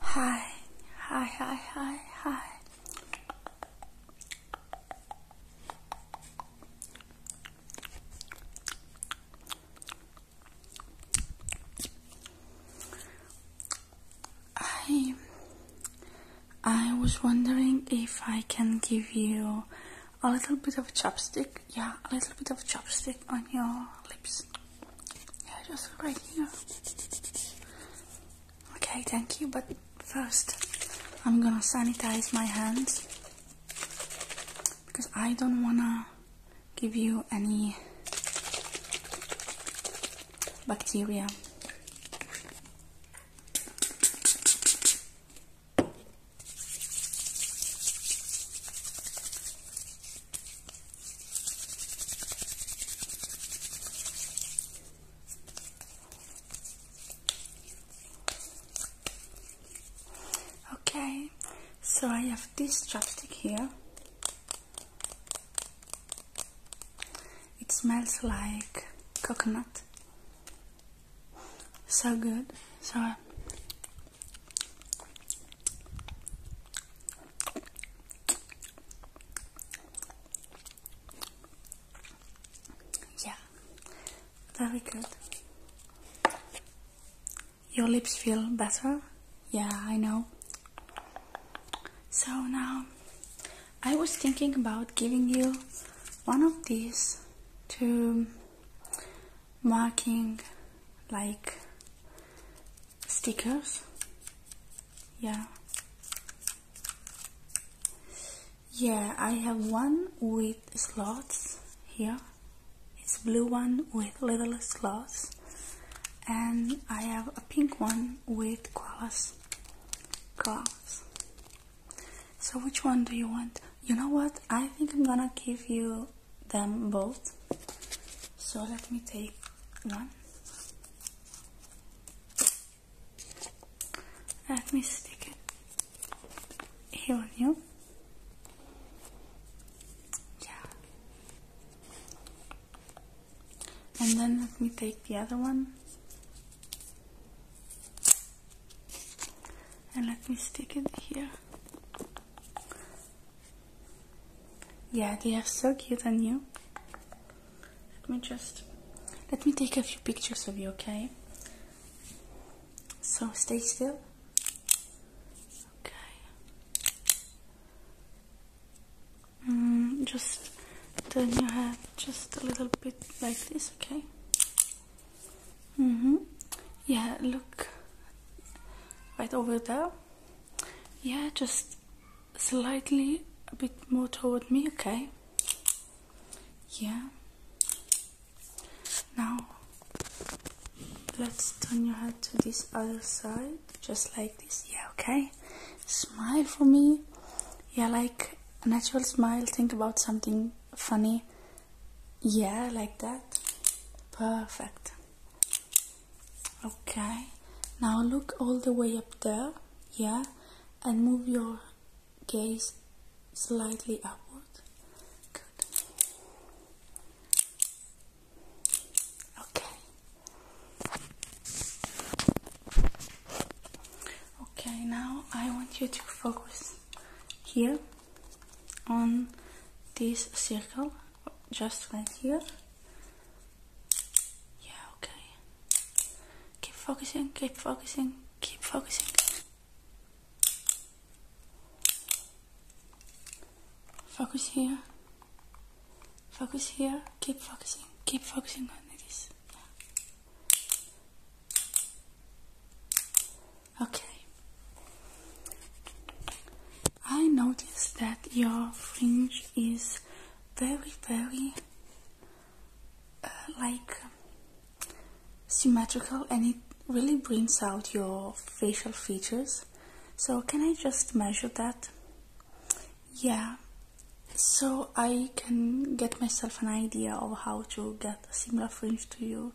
Hi, hi, hi, hi, hi. I I was wondering if I can give you a little bit of chopstick. Yeah, a little bit of chopstick on your lips. Yeah, just right here. Okay, thank you, but first I'm gonna sanitize my hands because I don't wanna give you any bacteria. Okay, so I have this chapstick here. It smells like coconut. So good. So yeah, very good. Your lips feel better? Yeah, I know. So now I was thinking about giving you one of these to marking like stickers yeah yeah I have one with slots here it's blue one with little slots and I have a pink one with koalas gloves so which one do you want you know what I think I'm gonna give you them both. So let me take one. Let me stick it here on Yeah. And then let me take the other one. And let me stick it here yeah, they are so cute on you. Let me just let me take a few pictures of you, okay? So stay still. Okay. Mm, just turn your head just a little bit like this, okay? Mm-hmm. Yeah, look right over there. Yeah, just slightly a bit more toward me, okay? Yeah. Now, let's turn your head to this other side, just like this. Yeah, okay? Smile for me. Yeah, like a natural smile. Think about something funny yeah, like that. Perfect. Okay. Now look all the way up there. Yeah. And move your gaze slightly upward. Good. Okay. Okay, now I want you to focus here on this circle just right here yeah okay keep focusing keep focusing keep focusing focus here focus here keep focusing keep focusing on this Okay. I notice that your fringe is very, very uh, like symmetrical and it really brings out your facial features. So, can I just measure that? Yeah, so I can get myself an idea of how to get a similar fringe to you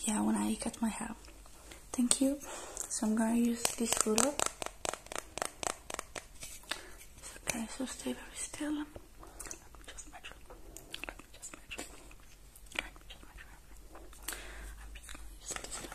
yeah when I cut my hair thank you so I'm gonna use this ruler okay so stay very still let me just measure let me just measure let me just measure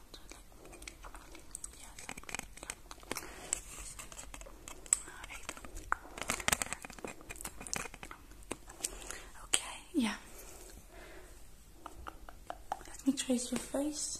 Okay, yeah. Let me trace your face.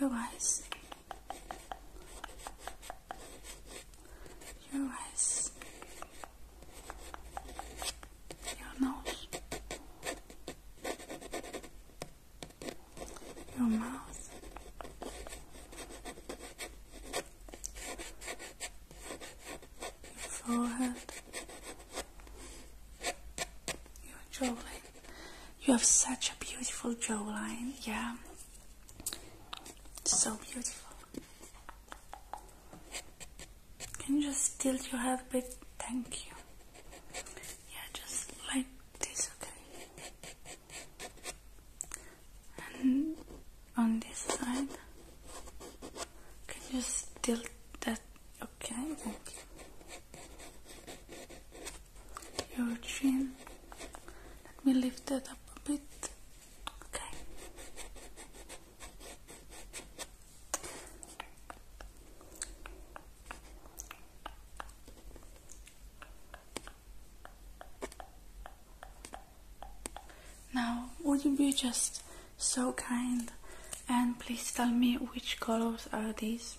Your eyes. Your eyes. Your nose. Your mouth. Your forehead. Your jawline. You have such a beautiful jawline, yeah. So beautiful. Can you just tilt your head a bit? Thank you. Yeah, just like this, okay? And on this side, can you just tilt that Okay, thank Your chin. Let me lift that up a bit. Okay. Now, would you be just so kind and please tell me which colors are these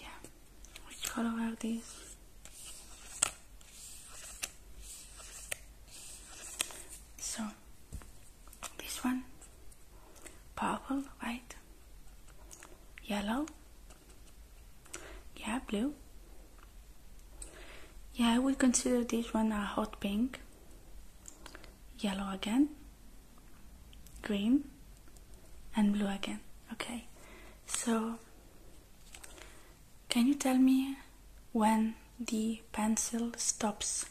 yeah which color are these so this one purple white yellow yeah blue yeah i would consider this one a hot pink yellow again, green, and blue again. Okay, so can you tell me when the pencil stops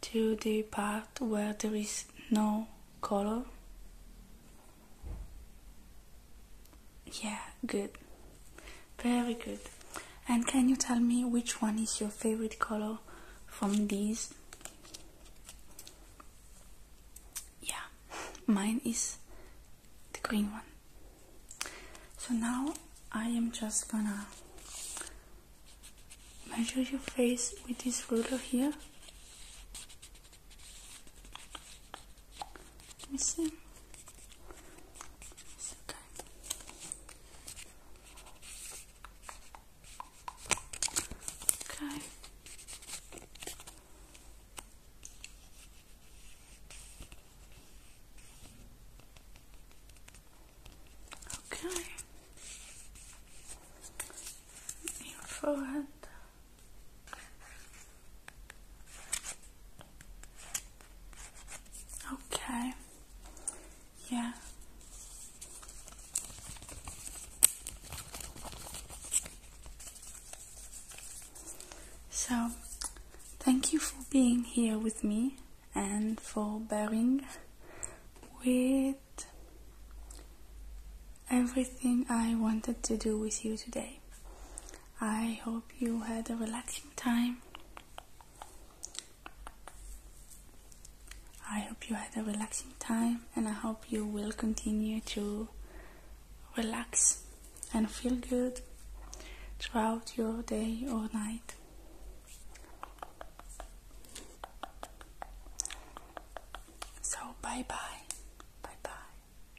to the part where there is no color? Yeah, good. Very good. And can you tell me which one is your favorite color from these? Yeah, mine is the green one. So now I am just gonna measure your face with this ruler here. Let me see. It's okay. Okay. Okay. Your forehead. Okay. Yeah. So, thank you for being here with me and for bearing with everything I wanted to do with you today. I hope you had a relaxing time. I hope you had a relaxing time and I hope you will continue to relax and feel good throughout your day or night. So, bye bye. Bye bye.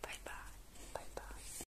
Bye bye. Bye bye.